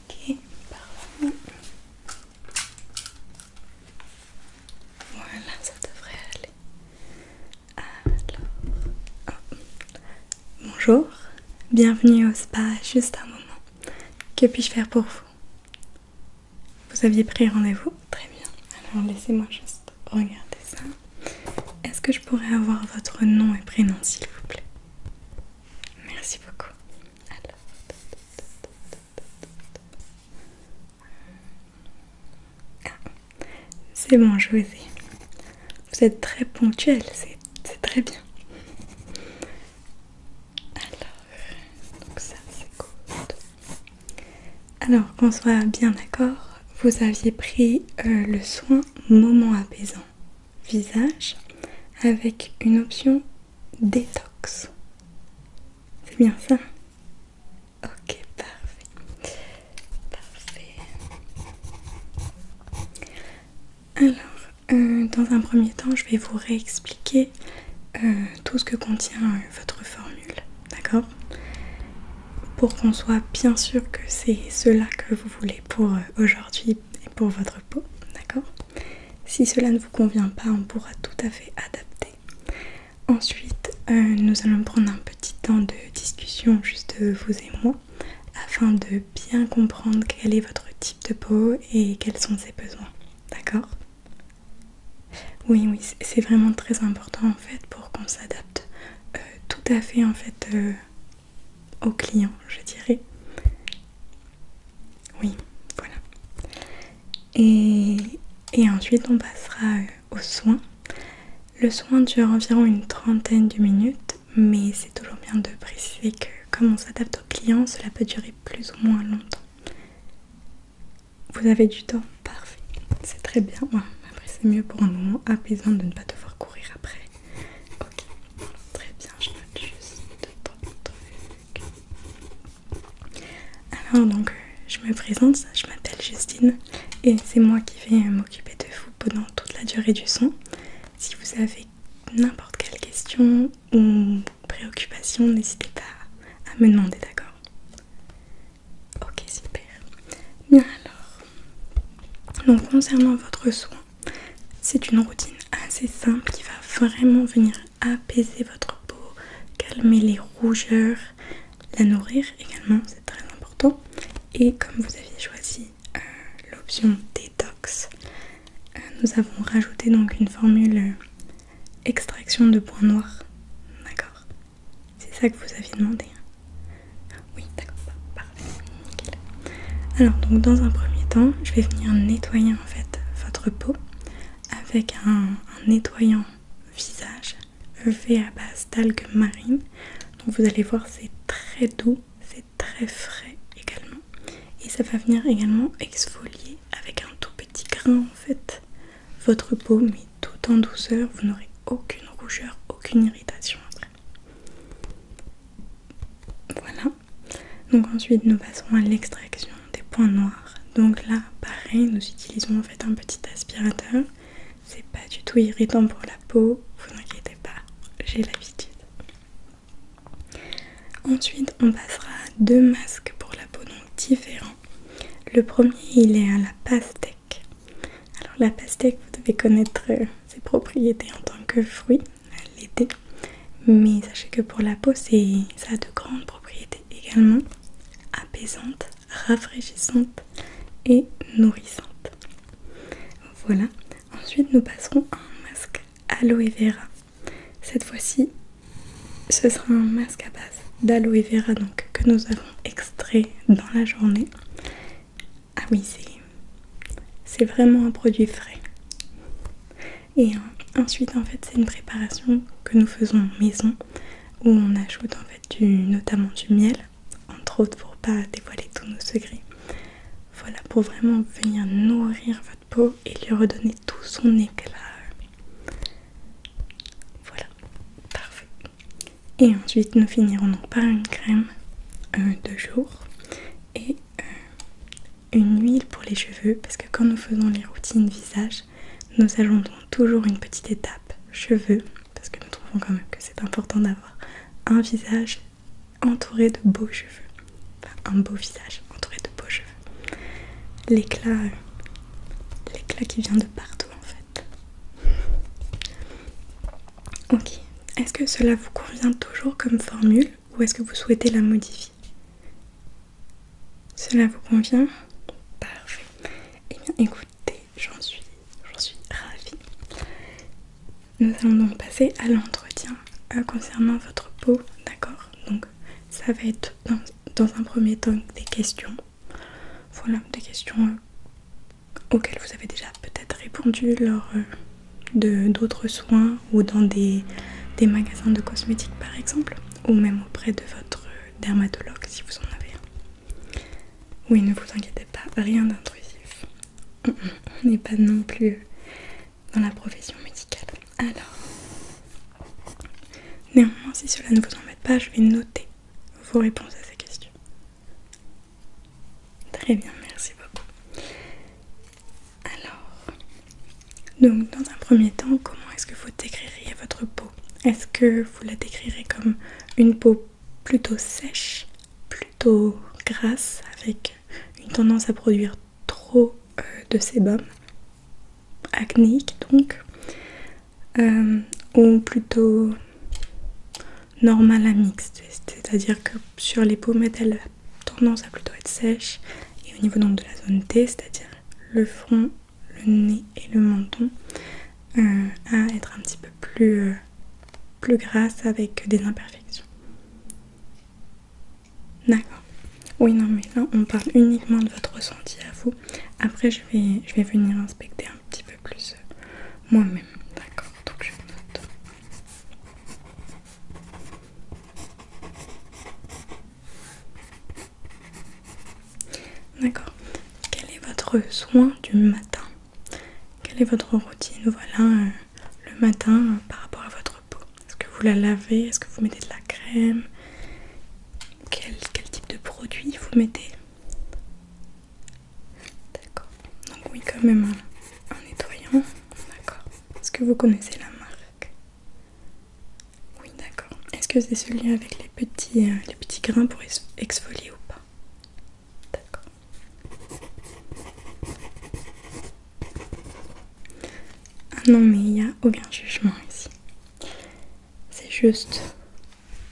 Ok, Voilà, ça devrait aller. Oh. bonjour, bienvenue au spa. Juste un moment. Que puis-je faire pour vous Vous aviez pris rendez-vous Très bien. Alors, laissez-moi juste regarder ça. Est-ce que je pourrais avoir votre nom et prénom, s'il vous plaît Merci beaucoup. Ah, c'est bon, je vous êtes très ponctuel, c'est très bien. Alors, ça Alors qu'on soit bien d'accord, vous aviez pris euh, le soin moment apaisant visage avec une option détox. C'est bien ça Ok, parfait. Alors, euh, dans un premier temps, je vais vous réexpliquer euh, tout ce que contient euh, votre formule. D'accord Pour qu'on soit bien sûr que c'est cela que vous voulez pour aujourd'hui et pour votre peau, d'accord Si cela ne vous convient pas, on pourra tout à fait adapter. Ensuite, euh, nous allons prendre un petit temps de discussion, juste vous et moi, afin de bien comprendre quel est votre type de peau et quels sont ses besoins, d'accord oui, oui, c'est vraiment très important en fait pour qu'on s'adapte euh, tout à fait en fait euh, au client, je dirais. Oui, voilà. Et, ensuite, on passera euh, au soin. Le soin dure environ une trentaine de minutes, mais c'est toujours bien de préciser que comme on s'adapte au client, cela peut durer plus ou moins longtemps. Vous avez du temps Parfait, c'est très bien. après, c'est mieux pour un moment apaisant de ne pas devoir courir après. Ok, très bien, je note juste Alors, donc, je me présente, je m'appelle Justine et c'est moi qui vais euh, m'occuper de vous pendant toute la durée du son. Si vous avez n'importe quelle question ou préoccupation, n'hésitez pas à me demander, d'accord Ok, super. Bien alors. Donc concernant votre soin, c'est une routine assez simple qui va vraiment venir apaiser votre peau, calmer les rougeurs, la nourrir également, c'est très important. Et comme vous aviez choisi euh, l'option détox, euh, nous avons rajouté donc une formule euh, extraction de points noirs. D'accord C'est ça que vous aviez demandé. Oui, d'accord, parfait, nickel. Alors, donc dans un premier temps, je vais venir nettoyer en fait votre peau avec un, nettoyant visage fait à base d'algues marines. Donc vous allez voir, c'est très doux, c'est très frais également. Et ça va venir également exfolier avec un tout petit grain en fait votre peau, mais tout en douceur, vous n'aurez aucune rougeur, aucune irritation après. Voilà. Donc ensuite nous passons à l'extraction des points noirs. Donc là pareil nous utilisons en fait un petit aspirateur. C'est pas du tout irritant pour la peau, vous n'inquiétez pas, j'ai l'habitude. Ensuite on passera à deux masques pour la peau donc différents. Le premier il est à la pastèque. Alors la pastèque vous devez connaître euh, ses propriétés en tant que fruit, l'été. Mais sachez que pour la peau, ça a de grandes propriétés également apaisante, rafraîchissante et nourrissante. Voilà, ensuite nous passerons à un masque aloe vera. Cette fois-ci, ce sera un masque à base d'aloe vera donc, que nous avons extrait dans la journée ah oui, c'est vraiment un produit frais. Et ensuite, en fait, c'est une préparation que nous faisons en maison où on ajoute en fait notamment du miel, entre autres pour pas dévoiler tous nos secrets. Voilà, pour vraiment venir nourrir votre peau et lui redonner tout son éclat. Voilà, parfait. Et ensuite, nous finirons par une crème de jour et euh, une huile pour les cheveux parce que quand nous faisons les routines visage, nous ajoutons toujours une petite étape cheveux parce que nous trouvons quand même que c'est important d'avoir un visage entouré de beaux cheveux. Enfin, un beau visage entouré de beaux cheveux. L'éclat euh, l'éclat qui vient de partout en fait. Ok. Est-ce que cela vous convient toujours comme formule ou est-ce que vous souhaitez la modifier Cela vous convient Parfait. Eh bien écoutez, j'en suis, suis ravie. Nous allons donc passer à l'entretien euh, concernant votre peau, d'accord Donc ça va être dans, un premier temps des questions. Voilà, des questions euh, auxquelles vous avez déjà peut-être répondu lors euh, de d'autres soins ou dans des, des magasins de cosmétiques par exemple ou même auprès de votre euh, dermatologue si vous en avez un. Oui, ne vous inquiétez pas, rien d'intrusif. On n'est pas non plus euh, dans la profession médicale. Alors, néanmoins, si cela ne vous embête pas, je vais noter vos réponses à ces questions. Très bien, merci beaucoup. Alors, donc dans un premier temps, comment est-ce que vous décririez votre peau Est-ce que vous la décrirez comme une peau plutôt sèche, plutôt grasse, avec une tendance à produire trop euh, de sébum, acnéique donc, euh, ou plutôt normal à mixte, c'est-à-dire que sur les pommettes, elle a tendance à plutôt être sèche, et au niveau de la zone T, c'est-à-dire le front, le nez et le menton, euh, à être un petit peu plus, euh, plus grasse avec des imperfections. D'accord. Oui, non, mais là, on parle uniquement de votre ressenti à vous. Après, je vais, je vais venir inspecter un petit peu plus euh, moi-même. D'accord, donc je note. D'accord. Quel est votre soin du matin Quelle est votre routine Voilà euh, le matin euh, par rapport à votre peau. Est-ce que vous la lavez Est-ce que vous mettez de la crème quel, quel type de produit vous mettez D'accord. Donc oui, quand même en nettoyant. D'accord. Est-ce que vous connaissez la marque Oui, d'accord. Est-ce que c'est celui avec les petits, euh, les petits grains pour exfolier ou pas D'accord. Ah non, mais il y a aucun jugement ici. C'est juste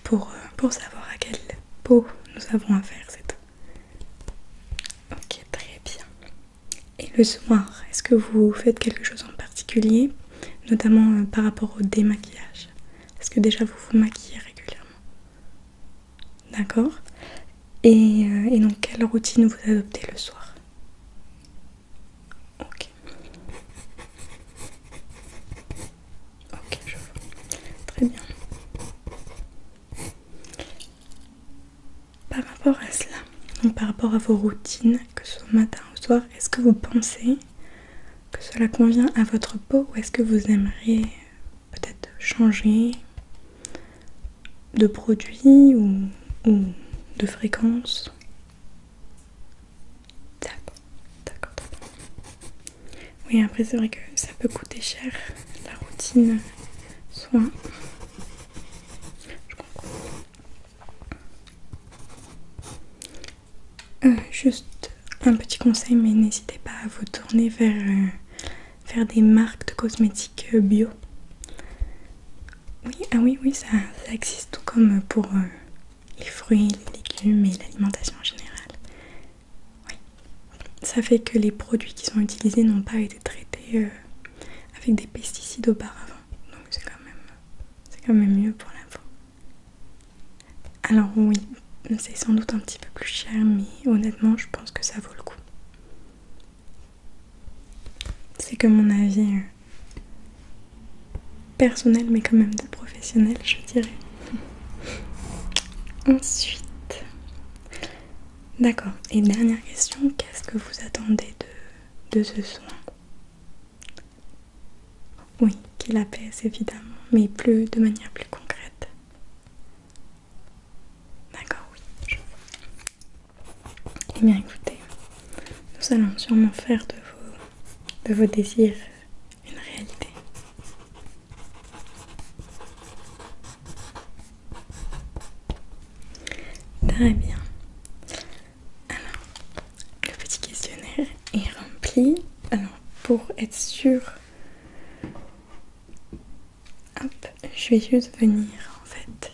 pour, euh, pour savoir à quelle peau nous avons affaire, c'est Ok, très bien. Et le soir, est-ce que vous faites quelque chose en particulier, notamment euh, par rapport au démaquillage Est-ce que déjà vous vous maquillez régulièrement D'accord et, euh, et donc quelle routine vous adoptez le soir Ok. Ok, je vois. Très bien. Par rapport à cela, donc par rapport à vos routines, que ce soit matin ou soir, est-ce que vous pensez que cela convient à votre peau ou est-ce que vous aimeriez peut-être changer de produit ou, de fréquence D'accord, d'accord, oui, après, c'est vrai que ça peut coûter cher la routine soin. Je comprends. Euh, juste un petit conseil, mais n'hésitez pas à vous tourner vers, faire euh, des marques de cosmétiques euh, bio. Oui, ah oui, oui, ça, existe tout comme pour les fruits, les légumes et l'alimentation en général. Oui. Ça fait que les produits qui sont utilisés n'ont pas été traités euh, avec des pesticides auparavant. Donc c'est quand, quand même mieux pour la peau. Alors oui, c'est sans doute un petit peu plus cher, mais honnêtement je pense que ça vaut le coup. C'est que mon avis euh, personnel, mais quand même de professionnel, je dirais. Ensuite, d'accord. Et dernière question, qu'est-ce que vous attendez de, ce soin Oui, qu'il apaise évidemment, mais plus de manière plus concrète. D'accord, oui, Eh bien écoutez, nous allons sûrement faire de vos, de vos désirs une réalité. Très bien. Alors, le petit questionnaire est rempli. Alors, pour être sûr, je vais juste venir en fait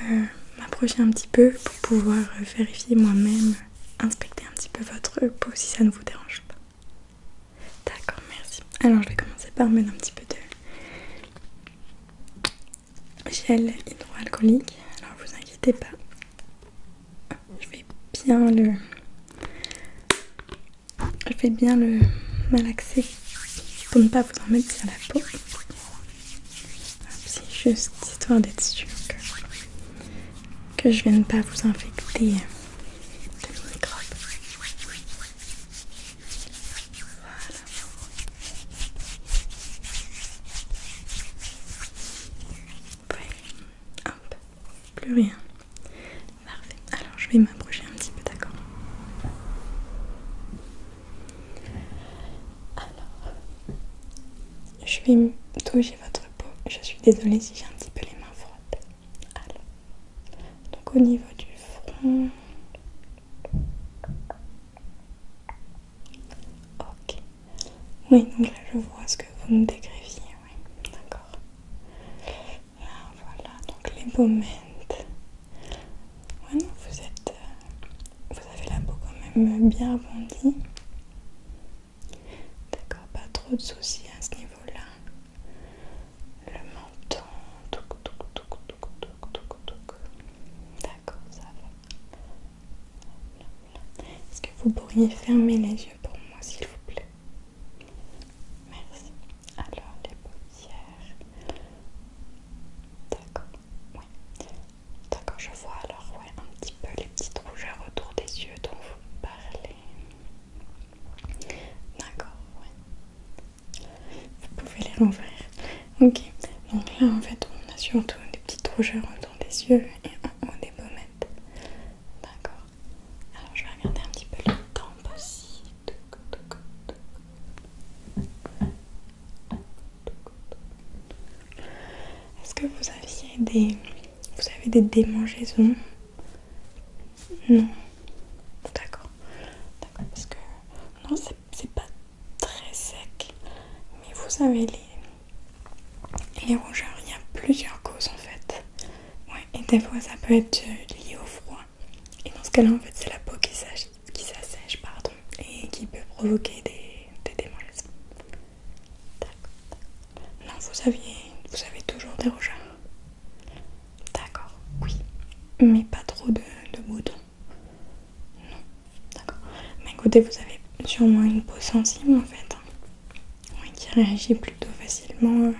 euh, m'approcher un petit peu pour pouvoir vérifier moi-même, inspecter un petit peu votre peau si ça ne vous dérange pas. D'accord, merci. Alors je vais commencer par mettre un petit peu de gel hydroalcoolique. Alors vous inquiétez pas. Je vais bien le... Je vais bien le malaxer pour ne pas vous en mettre sur la peau. C'est juste histoire d'être sûr que, je viens ne pas vous infecter de Voilà. Hop, plus rien. Parfait. Alors je vais m'approcher un petit peu, d'accord Alors, je vais toucher votre peau. Je suis désolée si j'ai un petit peu les mains froides. Alors, Donc au niveau du front. Ok. Oui, donc là je vois ce que vous me décriviez. Oui, d'accord. Là voilà, donc les pommettes. vous êtes. Euh, vous avez la peau quand même bien rebondie. D'accord, pas trop de soucis à ce niveau-là. Le menton, touc, touc, touc, touc, touc, touc, touc. D'accord, ça va. Est-ce que vous pourriez fermer les yeux pour moi, s'il vous plaît Merci. Alors, les paupières. D'accord, oui. D'accord, je vois alors, ouais, un petit peu les petites rougeurs autour des yeux dont vous parlez. D'accord, ouais. Vous pouvez les l'envers. Ok, donc là en fait on a surtout des petites rougeurs autour des yeux et en haut des pommettes. D'accord. Alors je vais regarder un petit peu les tempes aussi. Est-ce que vous aviez des... Vous avez des démangeaisons non. D'accord. D'accord, parce que... Non, c'est pas très sec. Mais vous savez, les, rougeurs, hein. il y a plusieurs causes en fait. Ouais, et des fois, ça peut être euh, lié au froid. Et dans ce cas-là, en fait, c'est la peau qui s'assèche, pardon, et qui peut provoquer des, des non, vous aviez, vous avez toujours des rougeurs. D'accord, oui, mais pas trop de, boutons. Non, d'accord. Mais écoutez, vous avez sûrement une peau sensible en fait, hein. oui, qui réagit plutôt facilement. Euh.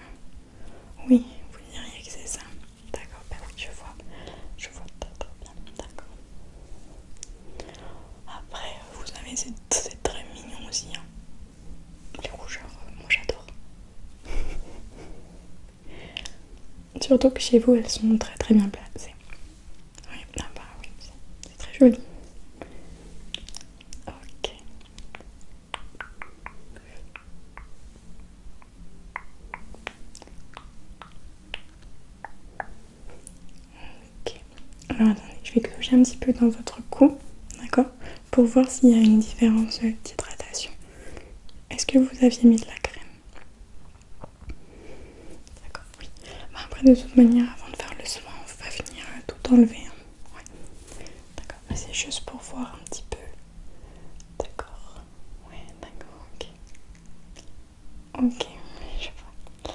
Oui, vous diriez que c'est ça. D'accord, ben je vois, je vois très bien. D'accord. Après, vous avez c'est très mignon aussi. Hein les rougeurs, euh, moi j'adore. Surtout que chez vous elles sont très très bien placées. Oui, là ah bah oui, c'est très joli. Ok. Ok. Alors attendez, je vais clocher un petit peu dans votre cou, d'accord pour voir s'il y a une différence d'hydratation. Est-ce que vous aviez mis de la crème D'accord, oui. Bah, après, de toute manière, avant de faire le soin, on va venir euh, tout enlever. Hein. Ouais. D'accord, bah, c'est juste pour voir un petit peu. D'accord, ouais, d'accord, ok. Ok, je vois.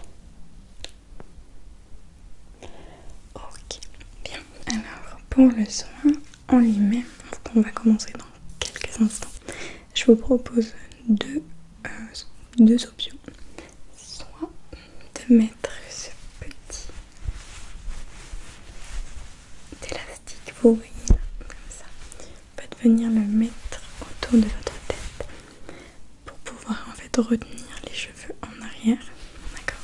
Ok, bien. Alors pour le soin on lui met, on va commencer dans quelques instants. Je vous propose deux, euh, deux options. Soit de mettre ce petit élastique, vous voyez comme ça. Vous venir le mettre autour de votre tête pour pouvoir en fait retenir les cheveux en arrière. D'accord.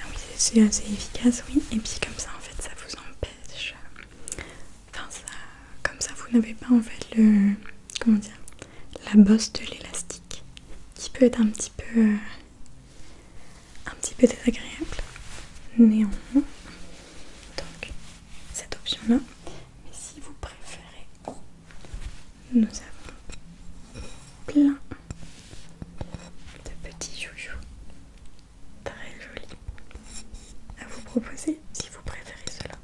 Ah oui, c'est assez efficace, oui. Et puis comme ça, en fait, ça vous empêche. Enfin, ça, comme ça, vous n'avez pas en fait le, comment dire, la bosse de l'élastique, qui peut être un petit peu euh, un petit peu désagréable néanmoins donc cette option là mais si vous préférez nous avons plein de petits joujoux très jolis à vous proposer si vous préférez cela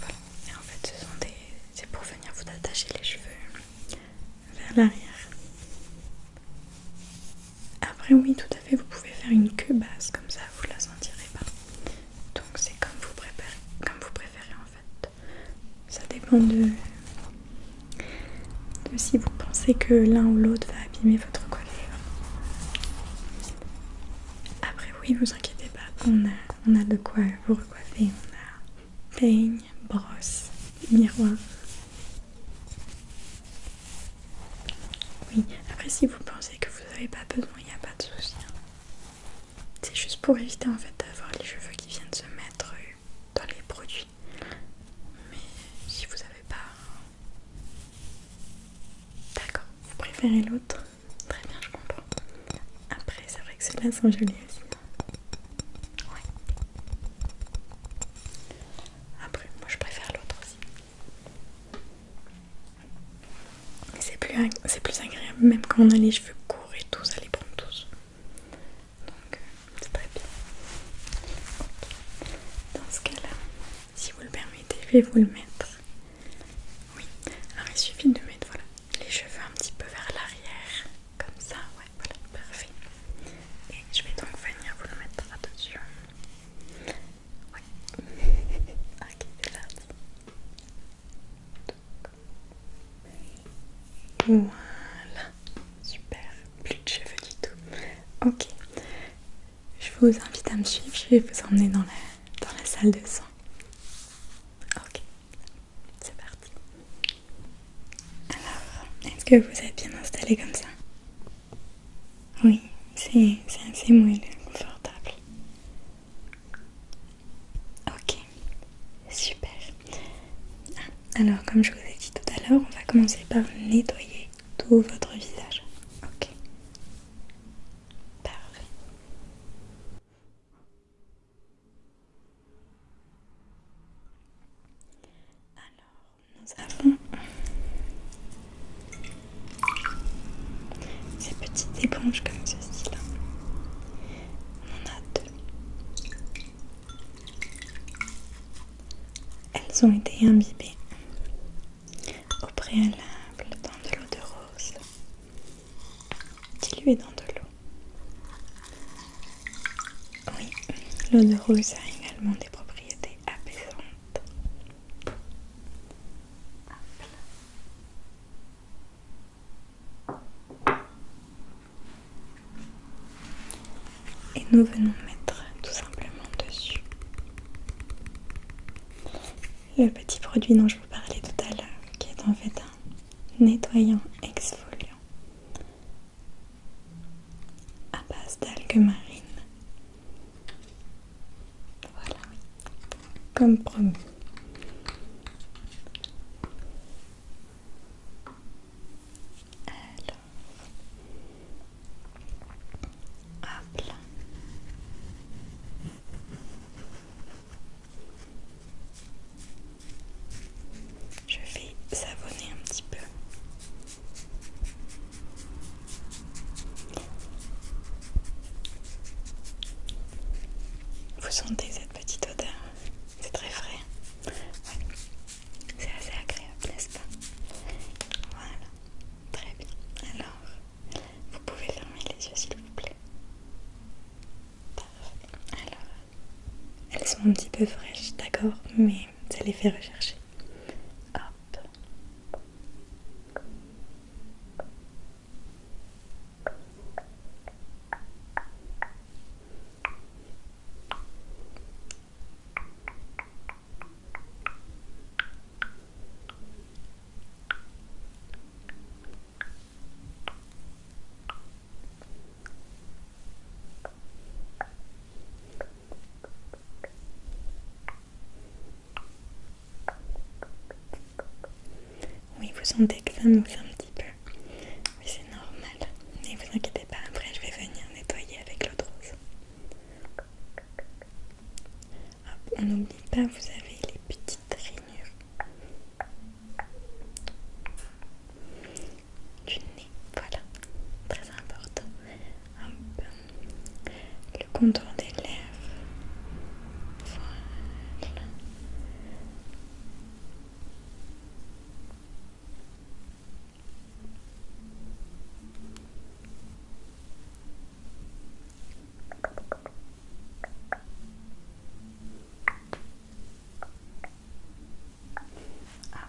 voilà et en fait ce sont des c'est pour venir vous attacher les cheveux vers l'arrière. Après oui tout à fait vous pouvez faire une queue basse comme ça vous la sentirez pas. Donc c'est comme vous préférez comme vous préférez en fait. Ça dépend de, si vous pensez que l'un ou l'autre va abîmer votre coiffure. Après oui vous inquiétez pas, on a, on a de quoi vous recoiffer, peigne, brosse, miroir. Oui, après si vous pensez que vous n'avez pas besoin, il n'y a pas de souci. Hein. C'est juste pour éviter en fait d'avoir les cheveux qui viennent se mettre euh, dans les produits. Mais si vous n'avez pas... D'accord, vous préférez l'autre Très bien, je comprends. Après, c'est vrai que ceux-là sont jolis aussi. Après, moi je préfère l'autre aussi. C'est plus, plus agréable, même quand on a les cheveux courts et tout, ça les prend tous. Donc, euh, c'est très bien. Dans ce cas-là, si vous le permettez, je vais vous le mettre. Oui, alors il suffit de mettre les cheveux un petit peu vers l'arrière. Comme ça, ouais, voilà, parfait. Et je vais donc venir vous le mettre là-dessus. attention. Ouais. ok, c'est parti. Voilà, super, plus de cheveux du tout. Ok, je vous invite à me suivre, je vais vous emmener dans la, dans la salle de sang. Ok, c'est parti. Alors, est-ce que vous êtes bien installé comme ça Oui, c'est assez moelleux, confortable. Ok, super. Ah, alors, comme je vous ai dit tout à l'heure, on va commencer par nettoyer tout votre visage. Ok. Parfait. Alors, nous avons ces petites éponges comme ceci là. On en a deux. Elles ont été imbibées au préalable dans de l'eau de rose dilué dans de l'eau. Oui, l'eau de rose a également des propriétés apaisantes. Et nous venons mettre tout simplement dessus le petit produit dont je vous parlais tout à l'heure, qui est en fait un nettoyant exfoliant à base d'algues marines. Voilà, comme promis. Je vais savonner un petit peu. Vous sentez cette petite odeur C'est très frais. C'est assez agréable, n'est-ce pas Voilà. Très bien. Alors, vous pouvez fermer les yeux s'il vous plaît. Alors, elles sont un petit peu fraîches, d'accord, mais ça les fait rechercher. Oui, vous sentez que ça un petit peu. mais c'est normal. Ne vous inquiétez pas, après je vais venir nettoyer avec l'eau de rose. on n'oublie pas, vous avez les petits petites rainures du nez, voilà, très important. Hop. Le contour des lèvres, voilà. Voilà. Ah.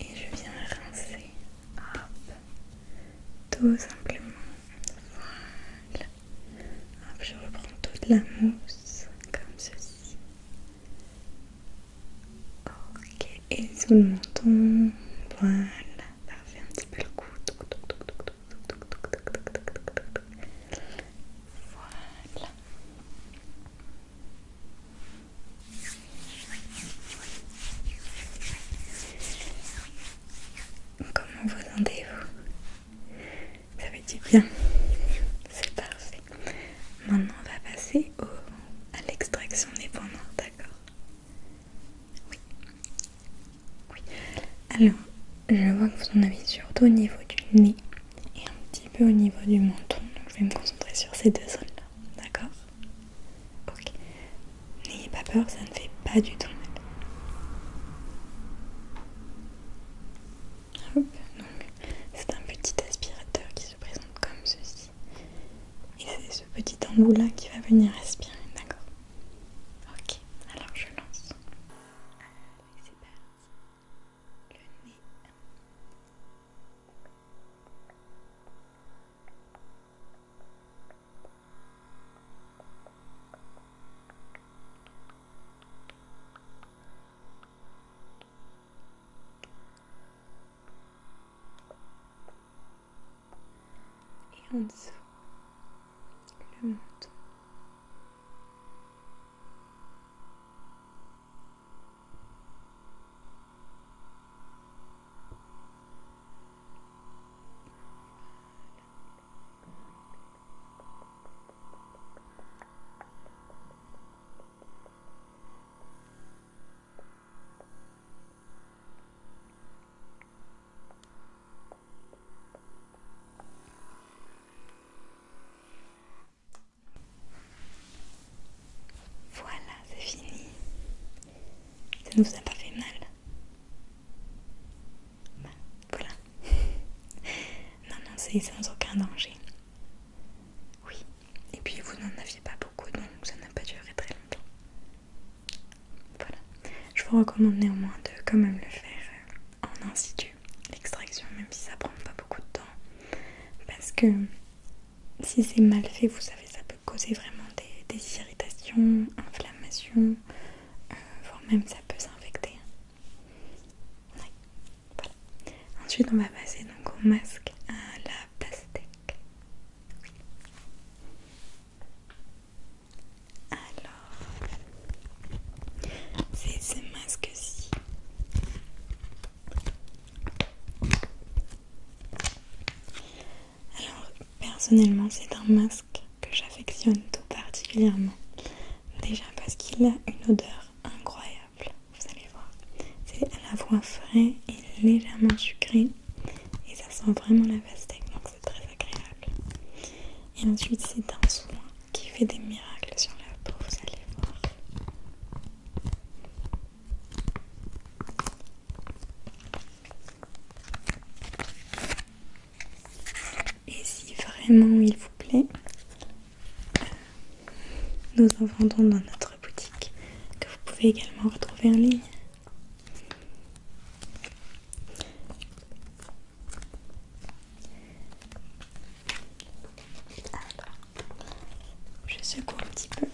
Et je viens rincer, hop, tout simplement, voilà, je reprends toute la mousse comme ceci, Ok, et sous le menton, voilà, parfait, un petit peu le cou. Voilà. Comment vous rendez vous Ça fait du bien. C'est parfait. Maintenant, on va passer à l'extraction des points d'accord oui. Oui. Alors, je vois que vous en avez surtout au niveau du nez et un petit peu au niveau du menton. Donc, je vais me concentrer sur ces deux zones-là. D'accord Ok. N'ayez pas peur, ça ne fait pas du tout mal. Hop, donc c'est un petit aspirateur qui se présente comme ceci y c'est ce petit embout là qui va venir respirer, d'accord Ok, alors je lance. c'est et en dessous le menton. Voilà, c'est fini. Ça ne vous a pas fait mal. Bah, voilà. non, non, c'est sans aucun danger. Oui. Et puis vous n'en aviez pas donc ça n'a pas duré très longtemps. Voilà. Je vous recommande néanmoins de quand même le faire euh, en in l'extraction, même si ça prend pas beaucoup de temps. Parce que si c'est mal fait, vous savez, ça peut causer vraiment des, irritations, inflammation, euh, voire même ça peut s'infecter. Ensuite, on va passer donc au masque à la pastèque. Alors, c'est ce masque-ci. Alors, personnellement, c'est un masque que j'affectionne tout particulièrement. Déjà parce qu'il a une odeur incroyable, vous allez voir. C'est à la fois frais et légèrement sucré et ça sent vraiment la pastèque donc c'est très agréable. Et ensuite c'est un soin qui fait des miracles sur la peau, vous allez voir. Et si vraiment il vous plaît, euh, nous en vendons dans notre boutique, que vous pouvez également retrouver en ligne. je secoue un petit peu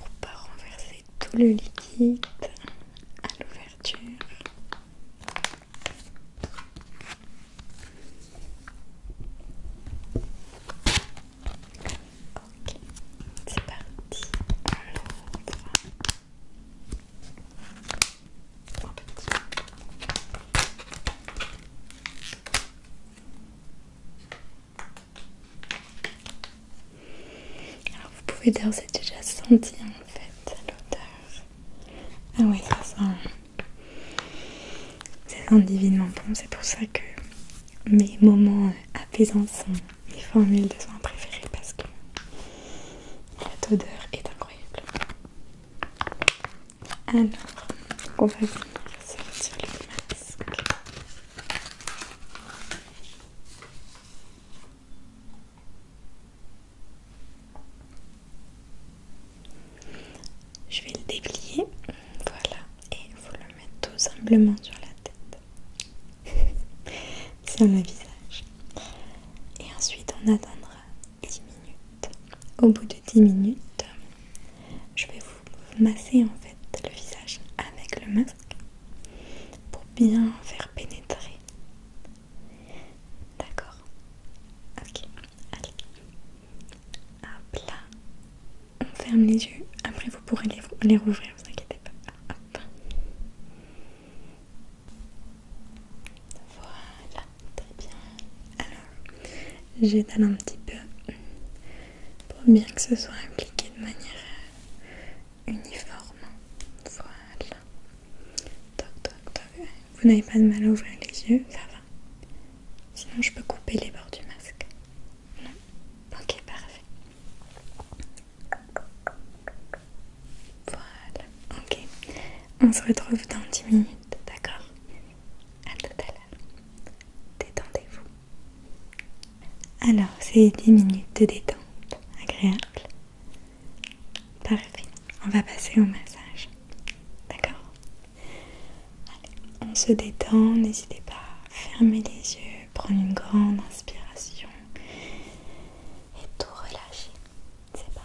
pour pas renverser tout le liquide à l'ouverture. Ok, c'est parti. Alors, vous pouvez dire, c'est déjà senti en fait l'odeur. Ah, oui, ça sent. Ça sent divinement bon, c'est pour ça que mes moments apaisants sont mes formules de soins préférées parce que la odeur est incroyable. Alors, on va venir sur le masque. Je vais le déplier, voilà, et vous le mettre tout simplement sur la tête. sur le visage. Et ensuite, on attendra 10 minutes. Au bout de 10 minutes, je vais vous masser en fait le visage avec le masque pour bien faire pénétrer. D'accord Ok, allez. à plat on ferme les yeux, après vous pourrez les, rouvrir, rouvrir, vous inquiétez pas. Hop. Voilà, très bien. Alors, j'étale un petit peu pour bien que ce soit appliqué de manière uniforme. Voilà. Toc, toc, Vous n'avez pas de mal à ouvrir les yeux, ça va. Sinon, je peux couper les bords du masque. Non Ok, parfait. Voilà, ok. On se retrouve dans 10 minutes, d'accord A tout à l'heure. Détendez-vous. Alors, c'est 10 minutes de détente agréable. Parfait. On va passer au massage. D'accord Allez, on se détend. N'hésitez pas à fermer les yeux prends une grande inspiration et tout relâcher. C'est parti.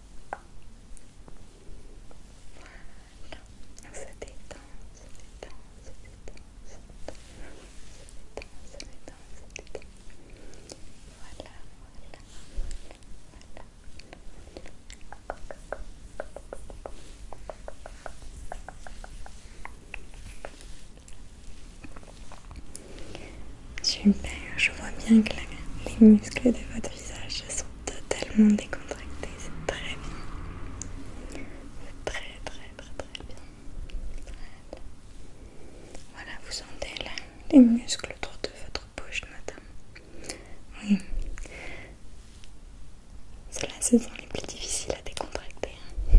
Voilà, on se détend, on se détend, on se détend, on se détend, on se détend, on se détend. Voilà, voilà, voilà, voilà. Super, je vois bien que les muscles de votre visage sont totalement décontractés, c'est très bien. C'est très très très très bien. Voilà. vous sentez les muscles autour de votre bouche madame. Oui. C'est là ce sont les plus difficiles à décontracter. Hein.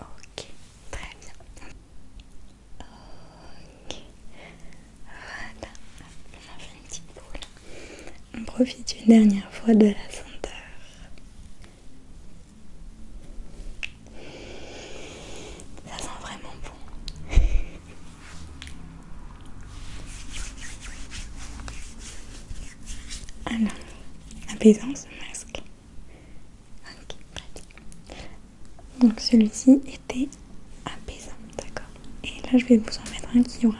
Ok, très bien. Ok, voilà, on a fait une petite boule. On profite une dernière fois de la senteur. Ça sent vraiment bon. Alors, apaisant ce masque. Ok, Donc celui-ci était apaisant, d'accord. Et là, je vais vous en mettre un qui aura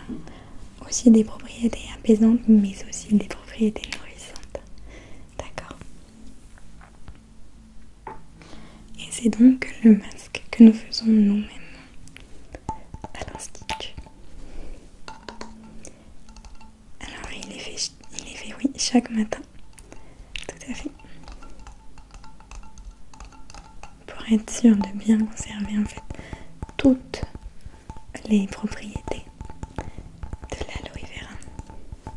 aussi des propriétés apaisantes, mais aussi des propriétés nourrissantes. D'accord. Et c'est donc le masque que nous faisons nous-mêmes à l'institut. Alors il est fait, il oui, chaque matin. Tout à fait. Pour être sûr de bien conserver en fait toutes les propriétés de l'aloe vera.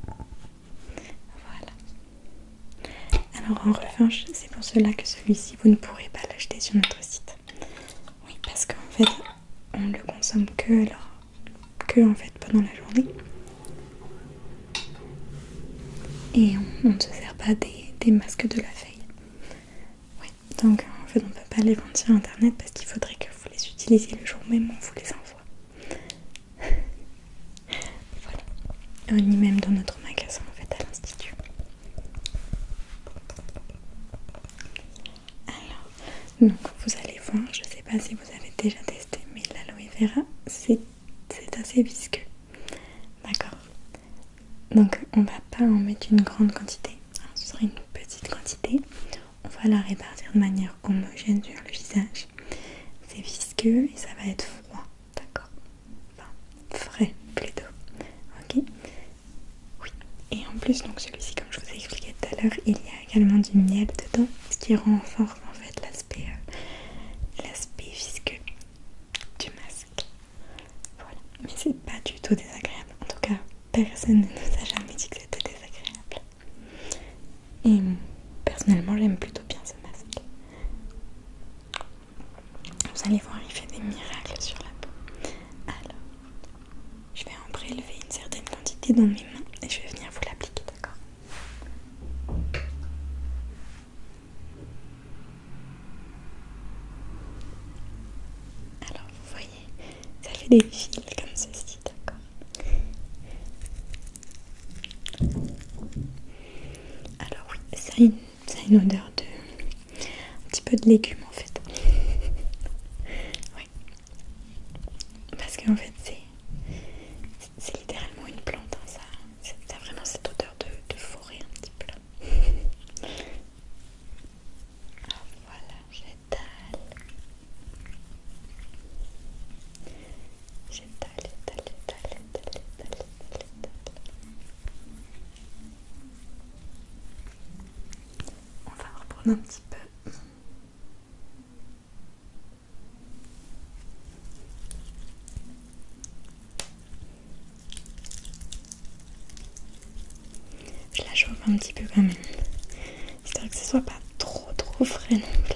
Voilà. Alors en revanche, c'est pour cela que celui-ci, vous ne pourrez pas l'acheter sur notre site. Oui, parce qu'en fait, on ne le consomme que, alors, que en fait pendant la journée. Et on, ne se sert pas des, masques de la feuille. donc en fait on ne peut pas les vendre sur internet parce qu'il faudrait que vous les utilisiez le jour même où on vous les envoie. voilà. On euh, même dans notre magasin en fait à l'institut. Alors, donc vous allez voir, je ne sais pas si vous avez déjà testé, mais l'aloe vera, c'est assez visqueux. D'accord Donc on va pas en mettre une grande quantité, hein, ce sera une petite quantité. On va la répartir de manière homogène sur le visage. C'est visqueux et ça va être froid, d'accord Enfin, frais plutôt. Ok oui, et en plus, donc celui-ci, comme je vous ai expliqué tout à l'heure, il y a également du miel dedans, ce qui renforce en fait l'aspect euh, l'aspect visqueux du masque. Voilà, mais c'est pas du tout désagréable. En tout cas, personne ne nous a jamais dit que c'était désagréable. Et hum, personnellement, j'aime plutôt bien ce masque. Vous allez voir, il fait des miracles sur la peau. Alors, je vais en prélever une certaine quantité dans mes mains et je vais venir vous l'appliquer, d'accord Alors vous voyez, ça fait des fils comme ceci, d'accord Alors oui, ça a, une, ça une odeur de un petit peu de légumes en fait. oui. Parce qu'en fait c'est littéralement une plante, hein. ça, ça vraiment cette odeur de, forêt un petit peu. Là. Ah, voilà, j'étale. J'étale, j'étale, j'étale, j'étale, j'étale, j'étale on va reprendre un petit peu. Je la chauffe un petit peu quand même. J'espère que ce soit pas trop trop frais non plus.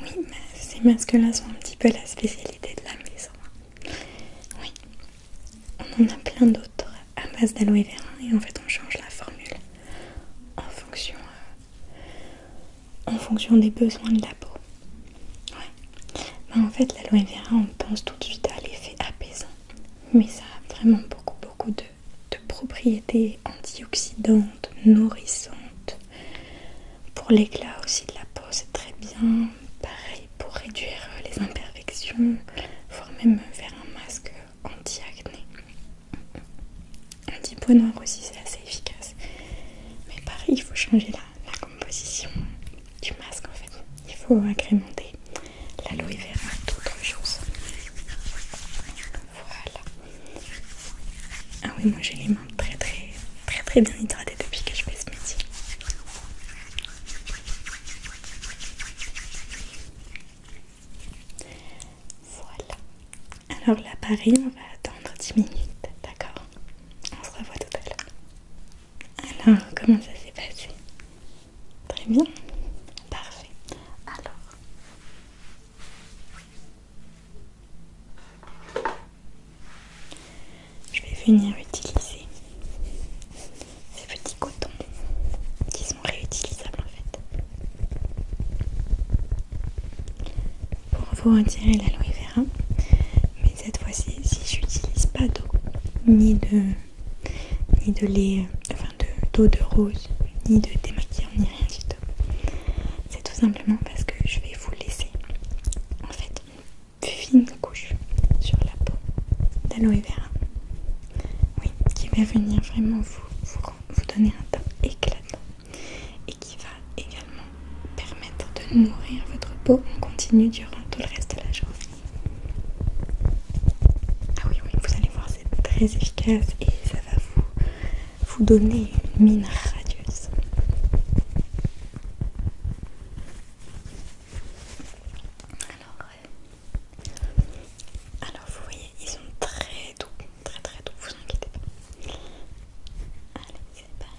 Oui, ces masques-là sont un petit peu la spécialité de la maison. Oui, on en a plein d'autres à base d'aloe vera et en fait on change la formule en fonction, euh, des besoins de la peau. Ouais. Ben, en fait l'aloe vera on pense tout de suite à l'effet apaisant, mais ça a vraiment beaucoup beaucoup de de propriétés antioxydantes, nourrissantes. Pour l'éclat aussi de la peau, c'est très bien. Pareil pour réduire euh, les imperfections, voire même faire un masque anti-acné. Anti-peau noir aussi, c'est assez efficace. Mais pareil, il faut changer la, composition du masque en fait. Il faut agrémenter l'aloe vera, d'autres choses. Voilà. Ah oui, moi j'ai les mains très très très très bien hydratées depuis que je fais ce métier. Voilà. Alors l'appareil Paris, on va attendre 10 minutes, d'accord On se revoit tout à l'heure. Alors, comment ça s'est passé Très bien Parfait. Alors, je vais venir utiliser ces petits cotons qui sont réutilisables en fait pour vous retirer l'aloe vera. Mais cette fois-ci, si j'utilise pas d'eau ni de ni de lait euh, enfin d'eau de, rose, ni de démaquillant, ni rien du tout. C'est tout simplement parce que je vais vous laisser en fait une fine couche sur la peau d'aloe vera. Oui, qui va venir vraiment vous, vous, donner un teint éclatant et qui va également permettre de nourrir votre peau en continu durant tout le reste de la journée. Ah oui, oui, vous allez c'est très efficace et ça va vous, donner une mine radieuse. Alors, vous voyez, ils sont très doux, très très doux, vous inquiétez pas. Allez, c'est parti.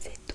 C'est tout.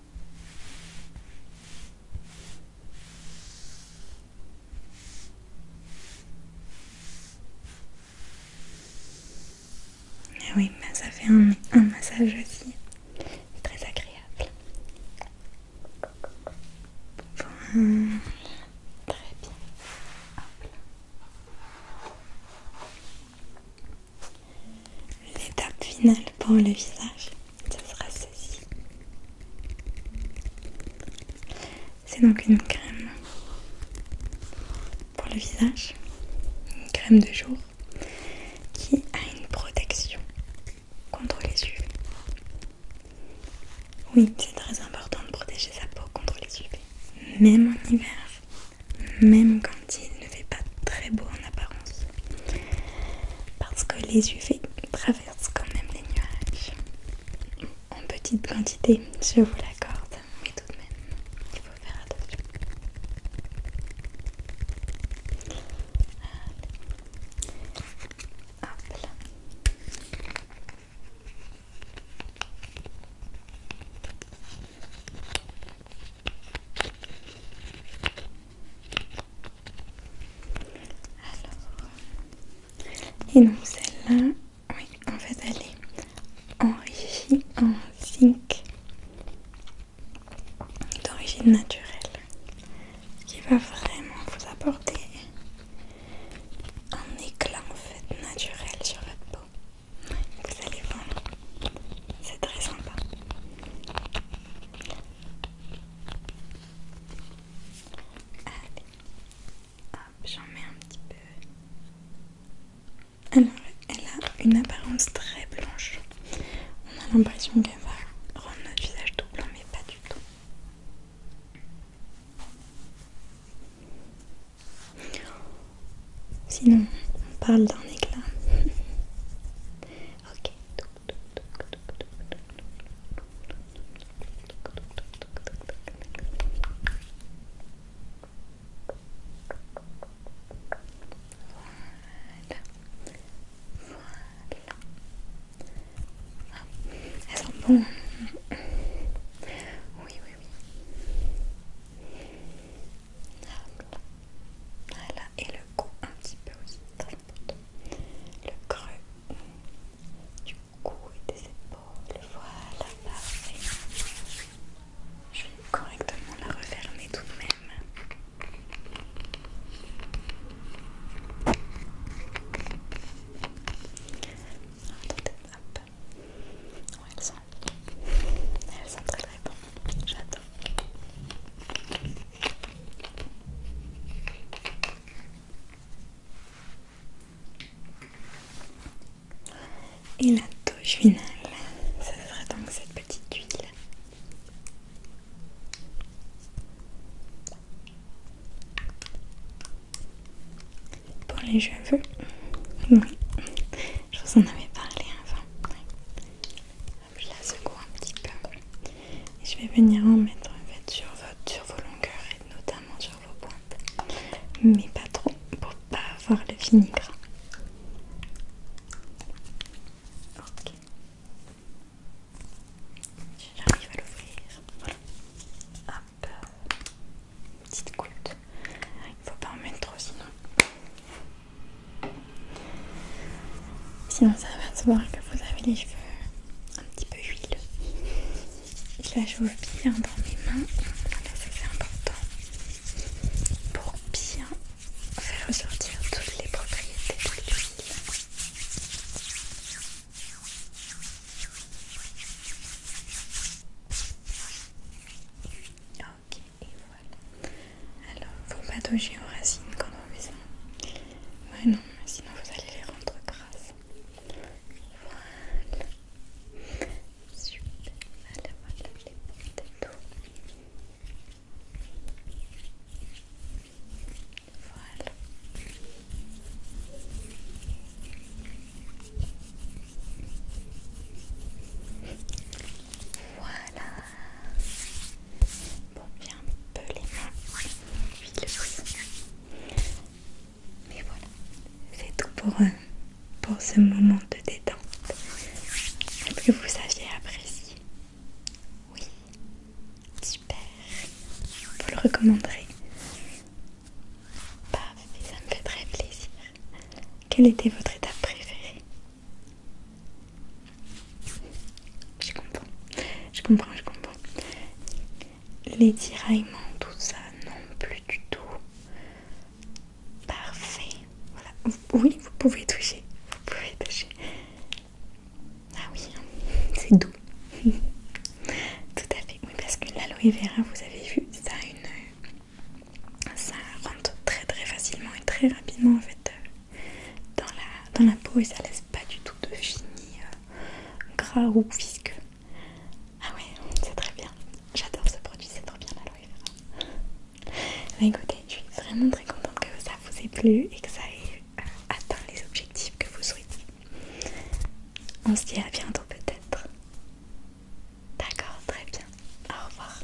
Ah oui, ça fait un, massage aussi très agréable. très bien. L'étape finale pour le visage, ce sera ceci. C'est donc une crème pour le visage, une crème de jour qui a une protection contre les UV. Oui, c'est très important de protéger sa peau contre les UV, même en hiver, même quand il ne fait pas très beau en apparence parce que les UV traversent quand même les nuages en petite quantité, je vous l'accorde, mais tout de même, il faut faire attention. Allez. Hop alors, et donc celle-là, oui, en fait elle est enrichie en zinc d'origine naturelle, ce qui va vraiment vous apporter un éclat en fait naturel sur votre peau. vous allez voir, c'est très sympa. Allez, hop, j'en mets un petit peu. Alors, elle a une apparence très blanche. On a l'impression qu'elle va rendre notre visage tout blanc, mais pas du tout. Sinon, on parle d'un éclat. Ok. Voilà. Voilà. Oui, oui, oui et le cou un petit peu aussi, très important. Le creux du cou et des épaules, voilà, parfait. Je vais correctement la refermer tout de même. hop. elles sont très très bonnes. J'attends. Et la touche finale, ça devrait donc cette petite huile. Pour les cheveux, oui, je vous en avais parlé avant je la secoue un petit peu je vais venir en mettre en fait, sur, vos longueurs et notamment sur vos pointes mais pas trop pour ne pas avoir le vinaigre ok j'arrive à l'ouvrir hop petite goutte il ne faut pas en mettre trop sinon Sinon, ça va se voir que vous avez les cheveux un petit peu huileux. Je la bien dans mes mains. c'est important pour bien faire ressortir toutes les propriétés de l'huile ok, et voilà. Alors, faut pas toucher aux racines quand on fait ça. Ouais, non, mais sinon vous allez les rendre grasses. Voilà. Super, voilà, voilà, je les porte et tout. Voilà. Voilà. Bon, bien un peu les mains. le Mais voilà, c'est tout pour, euh, pour ce moment de détente. que vous aviez apprécié Oui. Super. Vous le recommanderez Parfait, ça me fait très plaisir. Quelle était votre étape préférée je comprends, je comprends, je comprends. Les tiraillements, tout ça, non plus du tout. Parfait. Voilà. Oui, vous pouvez toucher. Vous pouvez toucher. Ah oui, hein. c'est doux. tout à fait. Oui, parce que l'aloe vera, vous avez vu, ça une... Ça rentre très très facilement et très rapidement en fait euh, dans la, peau et ça laisse pas du tout de fini euh, gras ou visqueux. Ah ouais, c'est très bien. J'adore ce produit, c'est trop bien la vera. écoutez, je suis vraiment très contente que ça vous ait plu et que ça ait euh, atteint les objectifs que vous souhaitez On se dit à bientôt peut-être. D'accord, très bien. Au revoir.